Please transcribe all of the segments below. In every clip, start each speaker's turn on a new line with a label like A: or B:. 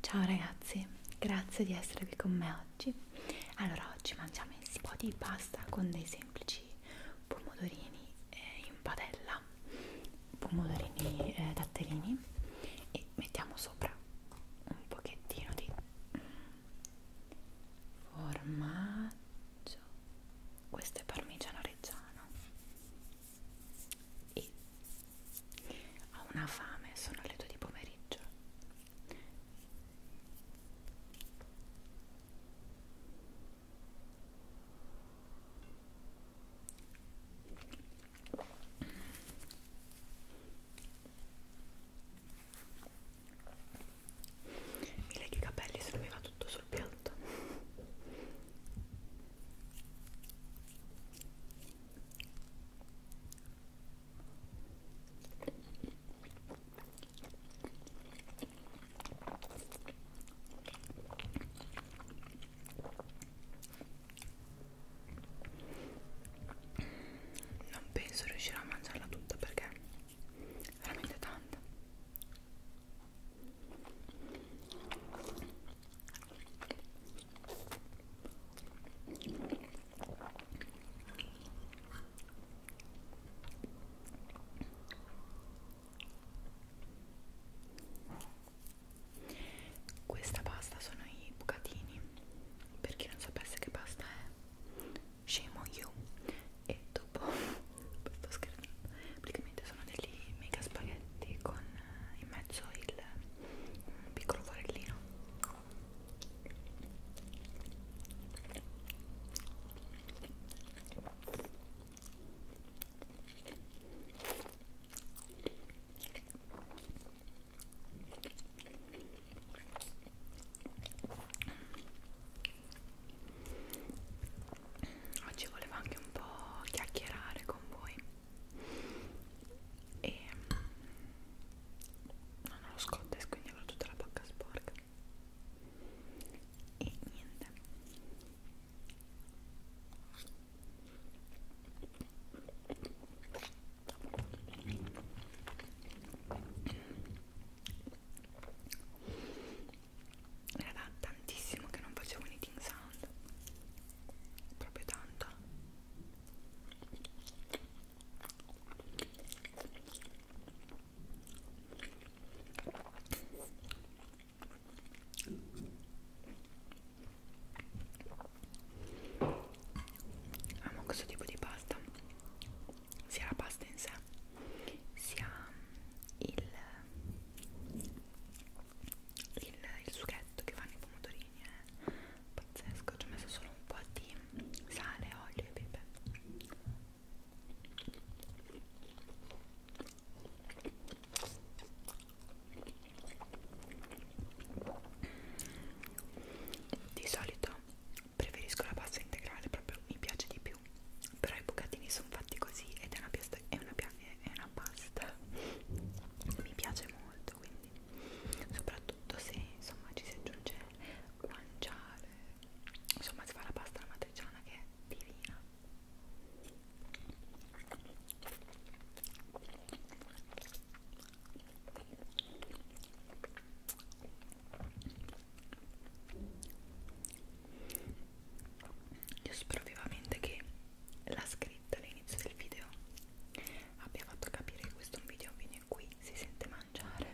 A: Ciao ragazzi, grazie di essere qui con me oggi. Allora, oggi mangiamo un po' di pasta con dei semplici pomodorini eh, in padella, pomodorini eh, datterini e mettiamo sopra un pochettino di formaggio questo è parmigiano reggiano e ho una fame, sono le 2 di pomeriggio i leghi capelli se non mi va tutto sul piatto tutto certo. non penso riuscirò a mangiarla tutta perché è veramente tanta questa pasta sono i bucatini. Per chi non sapesse che pasta è, scemo io e dopo sto scherzando praticamente sono degli mega spaghetti con eh, in mezzo il un piccolo forellino oggi volevo anche un po' chiacchierare con voi e non ho lo scottex quindi avrò tutta la bocca sporca e niente era da tantissimo che non facevo un eating sound proprio tanto amo questo tipo di pasta sia la pasta in sé sia il, il, il sughetto che fanno i pomodorini è eh. pazzesco, ci ho messo solo un po' di sale, olio e pepe di solito preferisco la pasta integrale, proprio mi piace di più più però i bucatini sono fatti così ed è una, piasta, è, una è una pasta mi piace molto quindi soprattutto se insomma ci si aggiunge guanciale insomma si fa la pasta alla matriciana che è divina io spero vivamente che la scritta all'inizio del video abbia fatto capire che questo è un video in cui si sente mangiare.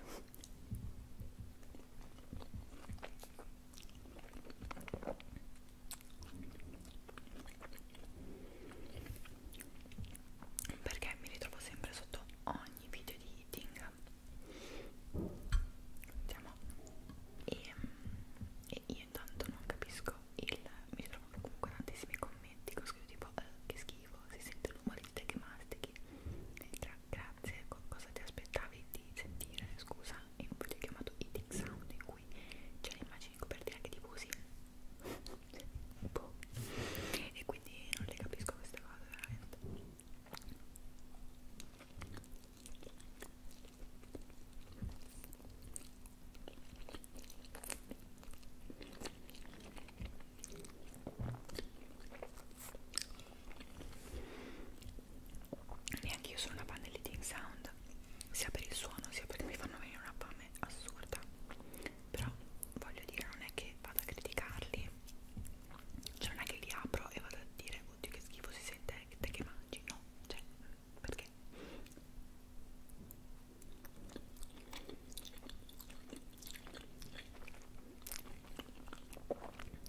A: Perché mi ritrovo sempre sotto ogni video di eating vediamo e, e io intanto non capisco il mi trovo comunque tantissimi commenti con scritto tipo eh, che schifo si sente l'umore di te che mastichi Tra, grazie co cosa ti aspettavi di sentire scusa in un video chiamato eating sound in cui c'è l'immagine di copertina che ti usi boh. e quindi non le capisco queste cose veramente Neanche io sono una fan delle ting sound, sia per il suono sia perché mi fanno venire una fame assurda. Però voglio dire, non è che vado a criticarli, cioè non è che li apro e vado a dire, oddio che schifo si sei te, te che mangi, no, cioè, perché?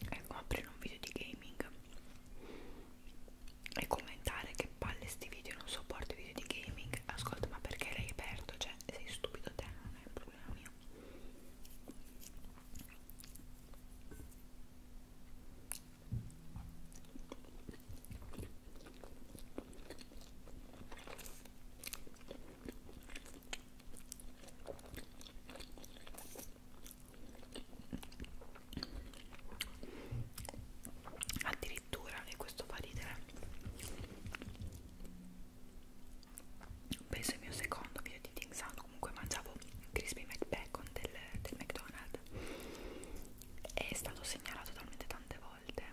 A: Ecco, aprire un video di gaming e commentare che palle sti video, non sopporto i video di gaming. Ascolta, ma perché l'hai aperto? Cioè, sei stupido te, non è un problema mio addirittura e questo fa ridere penso il mio secondo video di Ting Sound comunque mangiavo crispy McBacon del, del McDonald's è stato segnalato talmente tante volte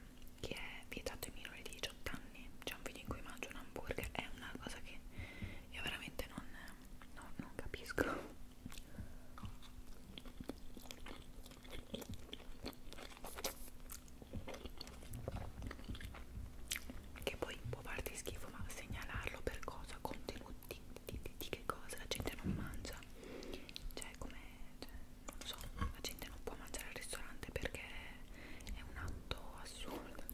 A: che è vietato ai minori di 18 anni c'è un video in cui mangio un hamburger è una cosa che io veramente non, no, non capisco che poi può farti schifo ma segnalarlo per cosa contenuti di, di, di che cosa la gente non mangia cioè come cioè, non lo so la gente non può mangiare al ristorante perché è un atto assurdo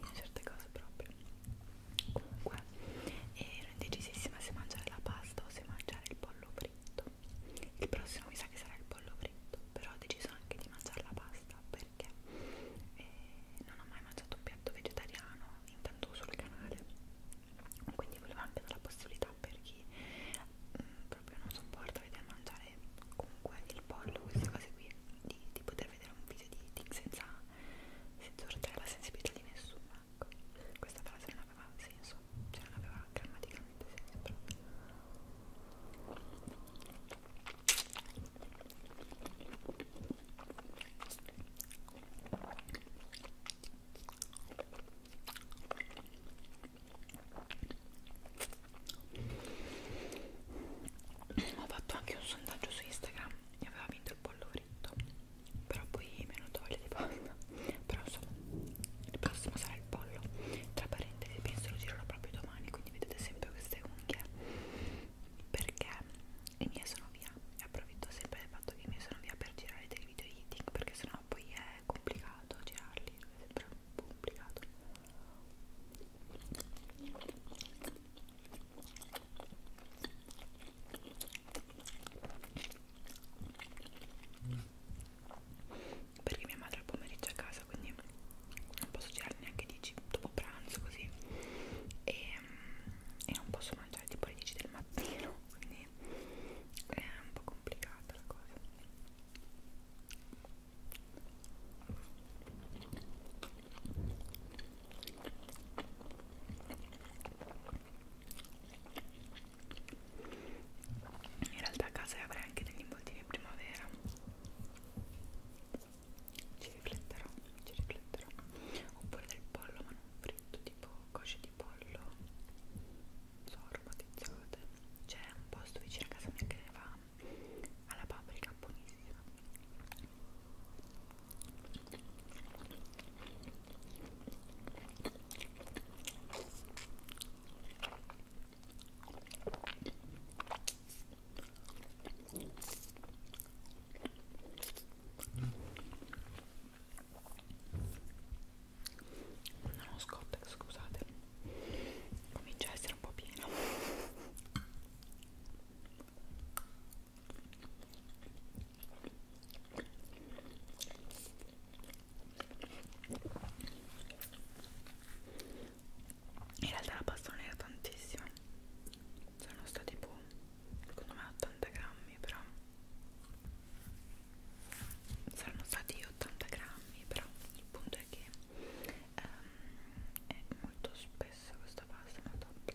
A: in certe cose proprio comunque eh, ero indecisissima se mangiare la pasta o se mangiare il pollo fritto il prossimo mi sa che sarà il pollo fritto però ho deciso anche di mangiare la pasta pasta perché eh, non ho mai mangiato un piatto vegetariano intanto sul canale quindi volevo anche dare la possibilità per chi mh, mm, proprio non sopporta vedere mangiare comunque il pollo queste cose qui di, di poter vedere un video di eating senza, senza urtare la sensibilità di nessuno ecco questa frase non aveva senso cioè non aveva grammaticamente senso proprio ho fatto anche un sondaggio su Instagram e aveva vinto il polloretto, però poi mi è venuta voglia di pasta. Però insomma, il prossimo sarà il pollo. Tra parentesi, penso lo girerò proprio domani, quindi vedete sempre queste unghie perché i miei sono via e approfitto sempre del fatto che i miei sono via per girare dei video eating perché sennò poi è complicato girarli, è sempre un po' complicato perché mia madre al pomeriggio a casa casa quindi non posso girare neanche 10 dopo pranzo così e, mm, e non posso mangiare tipo alle 10 del mattino quindi è un po' complicata la cosa in realtà a casa avrei anche degli involtini in primavera ci rifletterò, ci rifletterò oppure del pollo ma non fritto tipo cosce di pollo so, aromatizzate c'è un posto vicino a casa mia che va alla paprika buonissima non ho scottax, scusate. Comincia a essere un po' pieno in realtà la pasta non era tantissima sono stati tipo boh, secondo me 80 grammi però saranno stati 80 grammi però il punto è che um, è molto spessa questa pasta ma top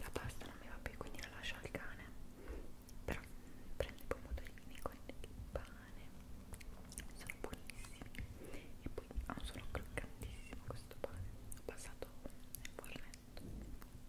A: La pasta non mi va più, quindi la lascio al cane. Però prendo i pomodorini con il pane, sono buonissimi. E poi ha un suono croccantissimo questo pane. Ho passato nel fornetto.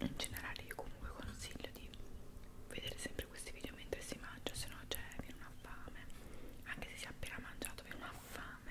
A: in generale io comunque consiglio di vedere sempre questi video mentre si mangia se no c'è cioè, viene una fame anche se si è appena mangiato viene una fame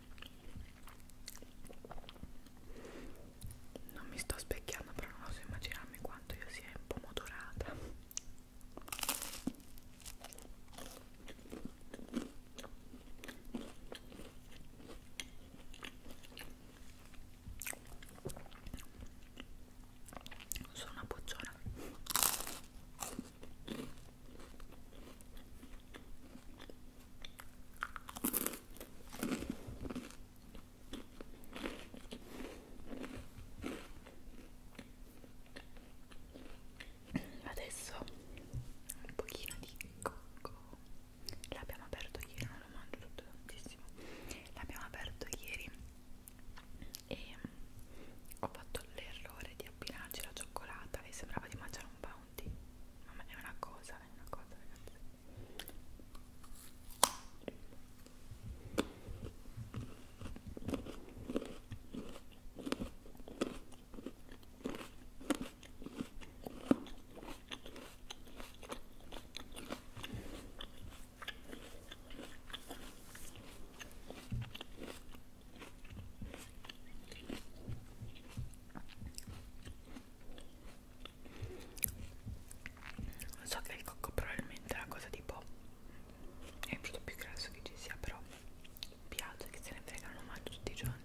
A: non mi sto specchiando però non posso immaginarmi quanto io sia un po' modorata sono una bocciona Adesso un pochino di cocco. L'abbiamo aperto ieri, non lo mangio tutto tantissimo. L'abbiamo aperto ieri e ho fatto compiuto l'errore di abbinarci la cioccolata e sembrava di mangiare un bounty. Ma è una cosa, è una cosa, ragazzi. So che il cocco probabilmente è una cosa tipo è il prodotto più grasso che ci sia, però mi piace che se ne frega, lo mangio tutti i giorni.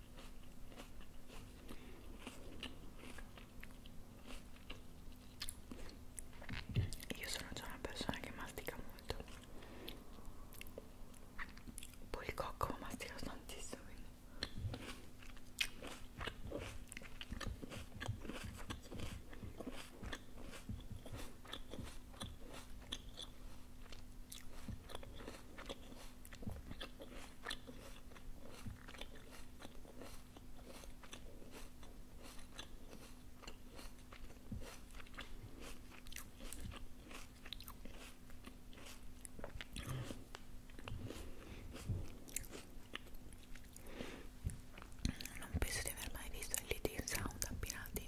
A: Io sono già una persona che mastica molto. Poi il cocco mastica tantissimo, quindi. Non penso di aver mai visto il leading sound abbinati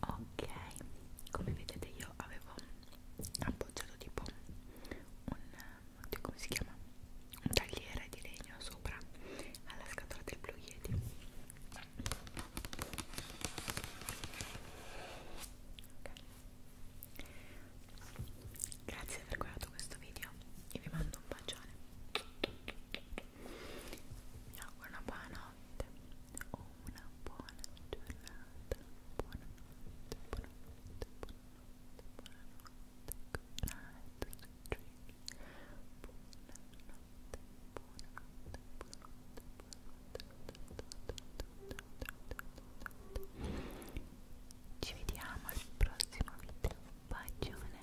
A: ok come vedete io avevo appoggiato tipo un oddio, come si chiama un tagliere di legno sopra alla scatola del Blue Yeti okay. grazie per aver guardato questo video e vi mando un bacione vi auguro una buona notte o una buona giornata, buonanotte, buonanotte, buonanotte, buonanotte, good night, sweet dreams, buonanotte, buonanotte, buonanotte, ci vediamo al prossimo video, bacione